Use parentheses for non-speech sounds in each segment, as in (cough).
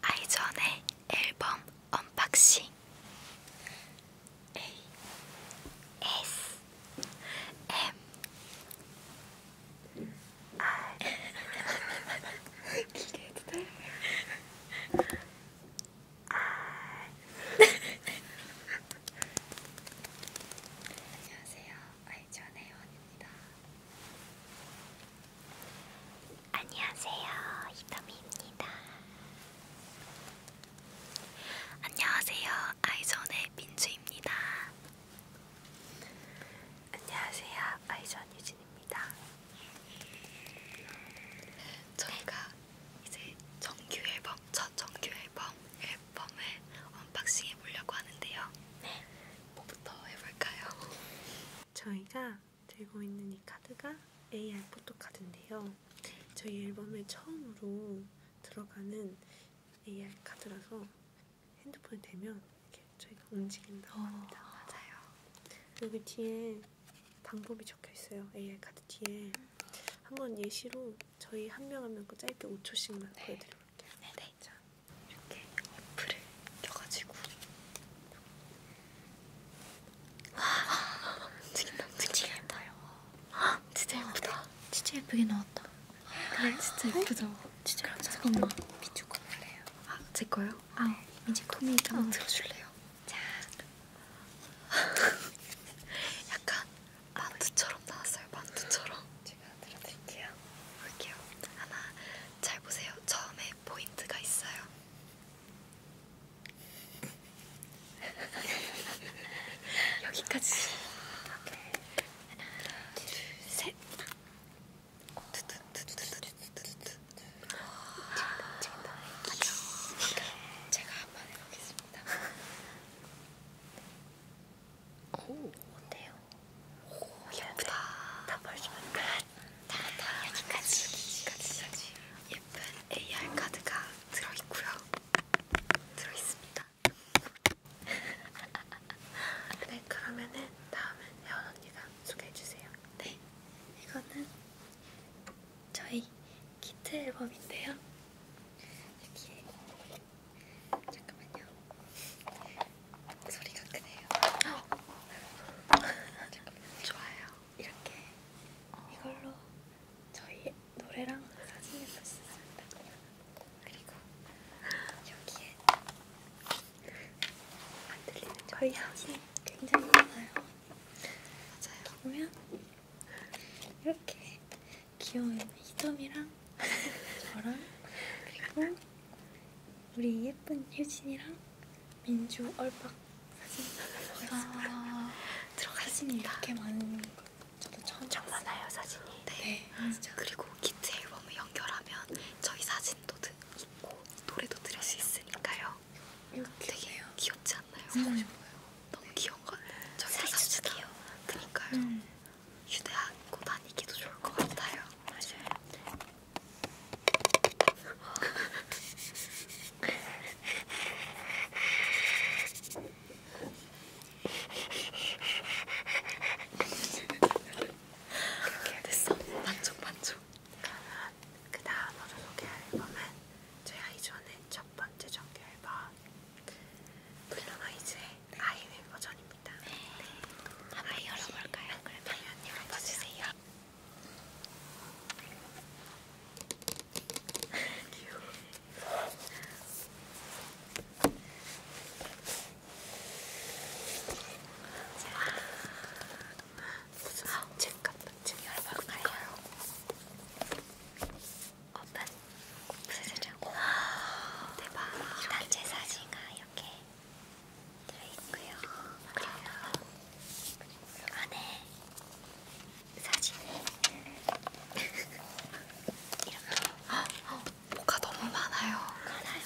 아이전의 앨범 언박싱 A S M R 기대해도 돼? 안녕하세요. 아이전의 원입니다. 안녕하세요, 히터미입니다. 안녕하세요, 아이존의 민주입니다. 안녕하세요, 아이존 유진입니다. 저희가 이제 정규 앨범, 첫 정규 앨범 앨범을 언박싱해 보려고 하는데요. 네. 뭐부터 해볼까요? (laughs) 저희가 들고 있는 이 카드가 AR 포토카드인데요. 저희 앨범에 처음으로 들어가는 AR 카드라서 핸드폰에 대면 이렇게 저희가 움직인다고 어. 합니다. 오, 맞아요. 여기 뒤에 방법이 적혀 있어요. AR 카드 뒤에. 한번 예시로 저희 한 명 한명그 짧게 5초씩만 네. 보여드려볼게요. 네네. 자. 이렇게 어플을 켜가지고 와 움직임 움직임 예뻐요 진짜 예쁘다 어, 진짜 예쁘게 나왔다 그래 아, 네. 진짜 어? 예쁘죠 진짜 그럼 잠깐만 민주 거 볼래요? 아제 거요? 아 네. 민주 토미 한번 어. 들어줄래요? 자 (laughs) 약간 만두처럼 나왔어요 만두처럼 제가 들어드릴게요 볼게요 하나 잘 보세요. 처음에 포인트가 있어요. (laughs) 여기까지. 하나, 둘, 셋. 제가 한번 해보겠습니다. 오, 어때요? 예쁘다. 다 벌써 다다 여기까지 여기까지 예쁜 AR 카드가 들어있고요. 들어있습니다. (laughs) 네 그러면은 다음은 여원 언니가 소개해주세요. 네 이거는 저희 키트 앨범인데요. 여기에 잠깐만요. 소리가 크네요. (gasps) 좋아요. 이렇게 이걸로 저희 노래랑 사진을 볼수 있습니다. 그리고 여기에 안 들리는 거의 사진 굉장히 많아요. 맞아요. 보면 이렇게 귀여운 히덤이랑 저랑 그리고 우리 예쁜 효진이랑 민주 얼박 사진 아 들어갔습니다. 이렇게 많은 거 저도 처음 엄청 봤어요. 많아요 사진이. 네. 네 음. 그리고 키트 앨범을 연결하면 저희 사진도 있고 노래도 들을 수 있으니까요. 이렇게 되게 해요. 귀엽지 않나요? 사고 싶어요. 너무 네. 귀여운 거 같아요. 저희 사진도 귀여워. 그니까요. 음. 휴대하고 다니기도 좋을 것 같아요. 맞아요. 이렇게 됐어. 반쪽 반쪽. 그러면 그 다음으로 소개할 앨범은 제가 이전에 첫 번째 정규 앨범 블루마이즈의 아이웨이 버전입니다. 있습니다. 네. 네. 한번 아, 열어볼까요? 그러면 네. 열어봐주세요. 귀여워. 아, 자, 무슨 책 같은 책 열어볼까요? 오픈! 무슨 책? 와 아, 대박! 단체 사진가 이렇게 들어있고요. 그리고 안에 사진이 이렇게 뭐가 너무 많아요. 많아요.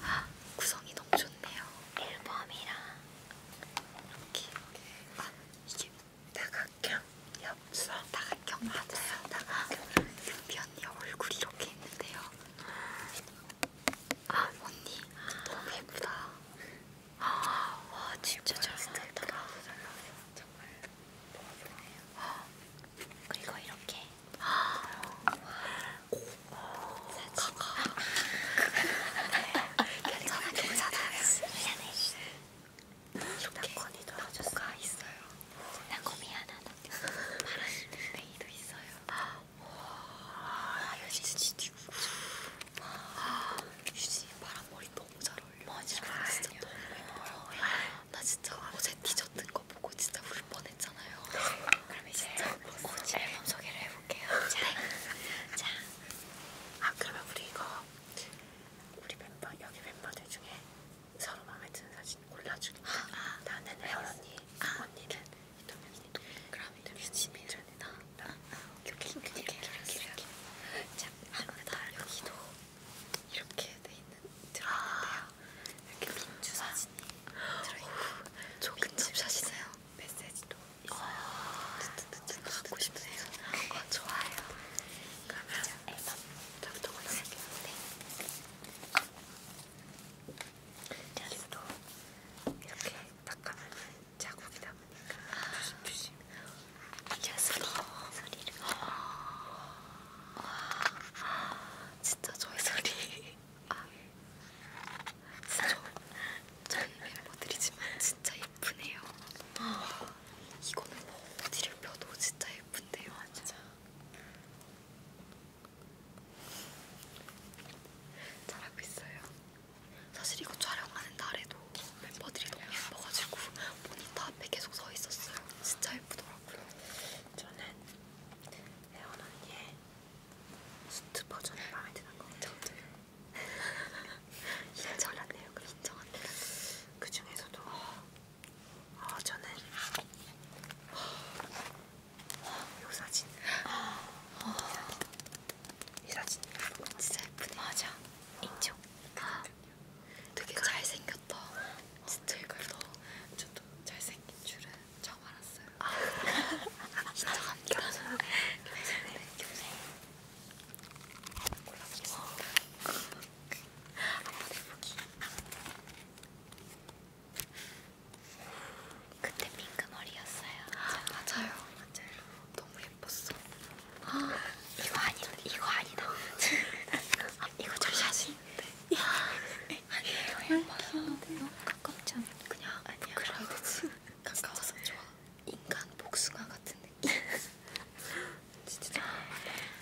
많아요. 구성이 너무 좋네요. 앨범이랑 이렇게 아 이게 다각형 엽서 다각형 맞아요. 다각형 은비 언니 얼굴이 이렇게 있는데요. 아 언니 너무 예쁘다. 아, 와 진짜 잘 나왔다. 정말 너무 예쁘네요. 아, 그리고 이렇게 아, 오, 오, 사진. 괜찮아 괜찮아. 미안해. 이렇게 건이도 나가 있어요. 난거 미안하다. 파란 레이도 있어요. 아, 와, 유진이 누구? 와, 유진이 파란 머리 너무 잘 어울려. 맞아, 진짜 너무 예뻐요. 나 진짜 어제 뒤졌던 거 보고 진짜 울 뻔했잖아요. 그럼 이제 오지 앨범 소개를 해볼게요. 자, 자, 아 그러면 우리 이거 우리 멤버 여기 멤버들 중에 서로 마음에 드는 사진 골라주기 아, 아, 나는 네, 혜연 언니, 아, 언니는 이동현 언니 그럼 이동현 집이 전이다 아, 아, 오케이 오케이 오케이 자, 네, 아무래도 여기도 이렇게 돼있는 들어있는데요 아. 이렇게 민주 사진이 들어있고 조금 집사시네요 메시지도 있어요 듣듣듣 갖고 싶으세요? 어, 좋아요 그러면 앨범 저부터 골라볼게요 네 자리도 이렇게 닦아면 자국이 남으니까 조심조심 이게 소리, 소리를 와, 진짜 저의 소리 아, 진짜 저희 멤버들이지만 진짜 예쁘네요 이거는 뭐 어디를 펴도 진짜 예쁜데요 진짜 잘하고 있어요. 사실 이거 촬영하는 날에도 멤버들이 너무 예뻐가지고 모니터 앞에 계속 서 있었어요. 진짜 예쁘더라고요. 저는 레온 언니의 수트 버전이 마음에 드는 것 같아요. 인정한대요. 인정한대요. 그 중에서도 어, 저는 어, 이 사진. 어. 이 사진. 진짜 예쁘네. 맞아. 인정. 아. 되게 그러니까. 잘생겼다. 진짜 예쁘다. 저도 잘생긴 줄은 처음 알았어요. 아. 진짜 (laughs) 감격스러워. 네, 골라보겠습니다. 어. 한번 해보기. 그때 핑크 머리였어요. 아, 맞아요. 맞아요. 너무 예뻤어. 아, (gasps) 이거 아니다. 이거 아니다. 아, 이거 좀 사진. 아니에요. 예뻐요. 너무 가깝지 않아? 그냥 아니야. 그래야 되지. 가까워서 좋아. 인간 복숭아 같은 느낌. 진짜,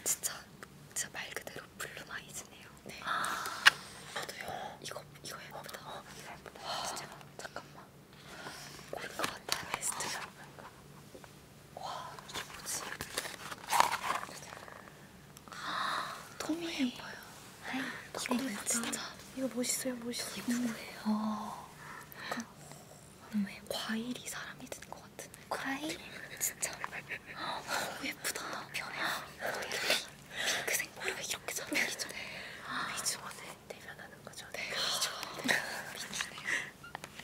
진짜, 진짜 말 그대로 블루마이즈네요. 네. 아, 저도요. 이거 이거 예쁘다. 어, 이거 예쁘다. 아, 진짜 잠깐만. 이거 같아. 베스트가 뭔가. 와 이게 뭐지? 아, 너무 예뻐요. 에이, 이거 예쁘다. 네, 진짜. 이거 멋있어요, 멋있어. 이게 누구예요? 어. 약간 음. 과일이 사람이 든것 같은. 과일? 진짜. 음, 오, 예쁘다. 변해. 핑크색 머리가 이렇게 잘 어울리죠? 미주원에 대변하는 거죠? 네. 미주원에 미주네.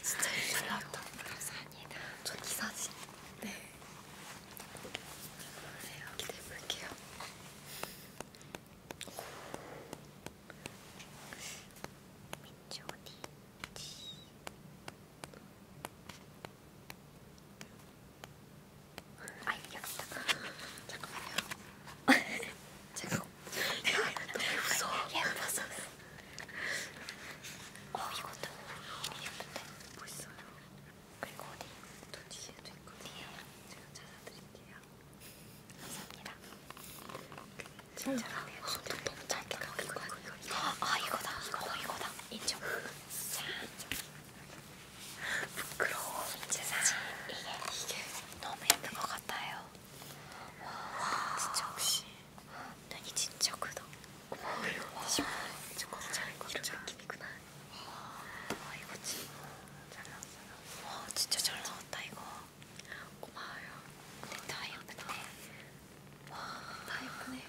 진짜 예쁘다. 나왔다. 감사합니다. 전이 사진. 네. 보세요. 기대해볼게요. 민지 언니, 민지, 아 이겼다. 잠깐만요. 제가 너무 무서워. 예뻐서. 어 이것도 예쁜데. 멋있어요. 네. 뭐 그리고 어디? 또 뒤에도 있거든요. 예. 제가 찾아드릴게요. 감사합니다. 진짜 라면 어, 또 너무 짧게 가고 이거 이거 이거 아 이거다 이거 이거다 인정. 자. (laughs) 부끄러워. 제사 이게 이게 너무 예쁜 것 같아요. 와, 와 진짜 혹시 눈이 진짜 크다. 어머, 와, 진짜 곱창 곱창 느낌이구나. 와, 이거 진짜 잘 나왔어요. 와, 진짜 잘 나왔다 이거. 고마워요. 근데 네, 다 예쁘네. 와, 다 예쁘네요.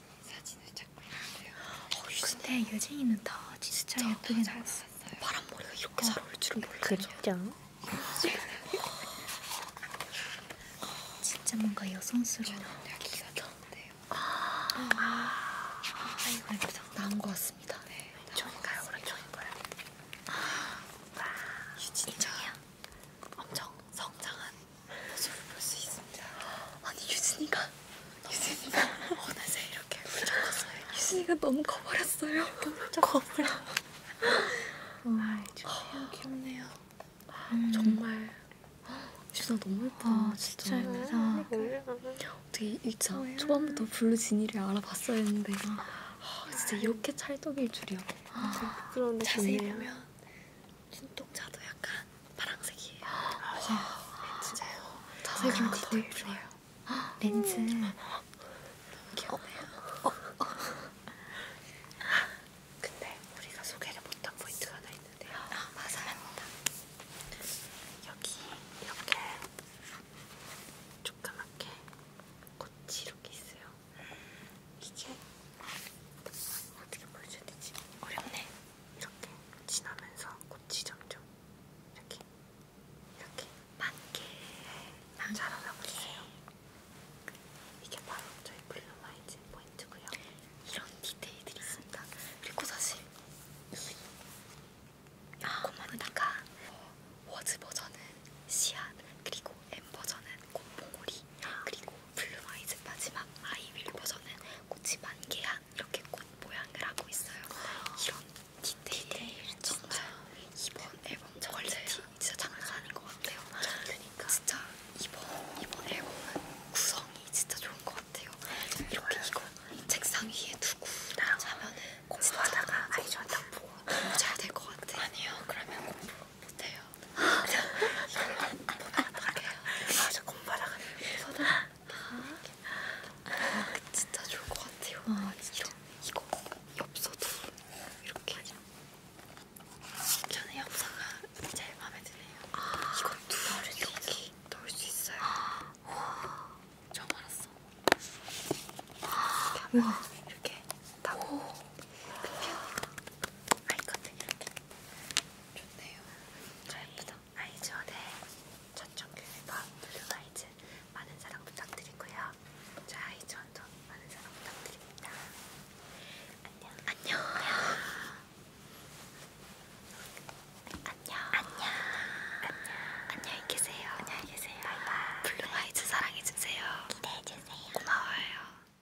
사진, 사진을 찾고 있는데요. 어, 근데 유진이는 다 진짜, 진짜 예쁘게 나왔어요. 바람머리가 이렇게 어, 잘 어울릴 줄은 몰랐죠. 그렇죠. 진짜 뭔가 여성스러운 기가 나는데요. 아, 아, 아 이거 예쁘다. 나온 것 같습니다. 네, 좋은가요? 오른쪽인가요? 아, 유진이가 엄청 성장한 모습을 볼수 있습니다. 아니 유진이가 유진이가 어느새 이렇게 훌쩍었어요. 유진이가 너무 커버렸어요. 커버려. 아, 주진이 아, 귀엽네요. 음. 정말 주진아 너무 예뻐. 아, 진짜 예쁘다. 아, 어떻게 1차 초반부터 블루 진이를 알아봤어야 했는데 아, 아 진짜 이렇게 찰떡일 줄이야. 아, 자세히 보면 흰통자도 약간 파랑색이에요. 아, 아, 진짜요? 자세히 보도 예쁘네요. 렌즈 음. 너무 귀엽네요. 어, 어, 어. 근데 우리가 소개를 못한 포인트가 하나 있는데요. 아, 맞아요. 여기 이렇게 조그맣게 꽃이 이렇게 있어요. 이게 어떻게 보여줘야 되지? 어렵네. 이렇게 지나면서 꽃이 점점 이렇게 이렇게 만개 자라나고 있어요. 이게 바로 저희 블루마이즈 포인트고요. 이런 디테일들이 있습니다. 그리고 사실 이 꼬마누나가 아, 그러니까. 워즈 버전은 씨앗 그리고 M 버전은 꽃봉오리 그리고 블루아이즈 마지막 아이윌 버전은 꽃이 만개한 이렇게 꽃 모양을 하고 있어요. 이런 디테일, 디테일 정말 진짜. 이번 앨범 퀄리티 진짜 장난 아닌 것 같아요. 그러니까 진짜 이번 이번 앨범은 구성이 진짜 좋은 것 같아요. 이렇게 이거 책상 위에 두고 자면은 공부하다가 아이전 딱 보고 너무 잘될 것 같아. 아니요, 그러면 공부 못해요. 아저 곰바닥은 서다. 아 진짜 좋을 것 같아요. 아 진짜 이거 엽서도 이렇게. 저는 엽서가 제일 마음에 드네요. 아, 이것도 여기 넣을 수 있어요. 아, 처음 알았어. 아, 이렇게 와. 이렇게 다 아이커튼 이렇게 좋네요. 예쁘다. 아이즈원의 전정규 앨범 블루아이즈 많은 사랑 부탁드리고요. 저 아이즈원도 많은 사랑 부탁드립니다. 안녕. 안녕. 안녕. 안녕. 안녕히 계세요. 안녕히 계세요. 바이바이. 블루아이즈 사랑해주세요. 기대해주세요. 고마워요.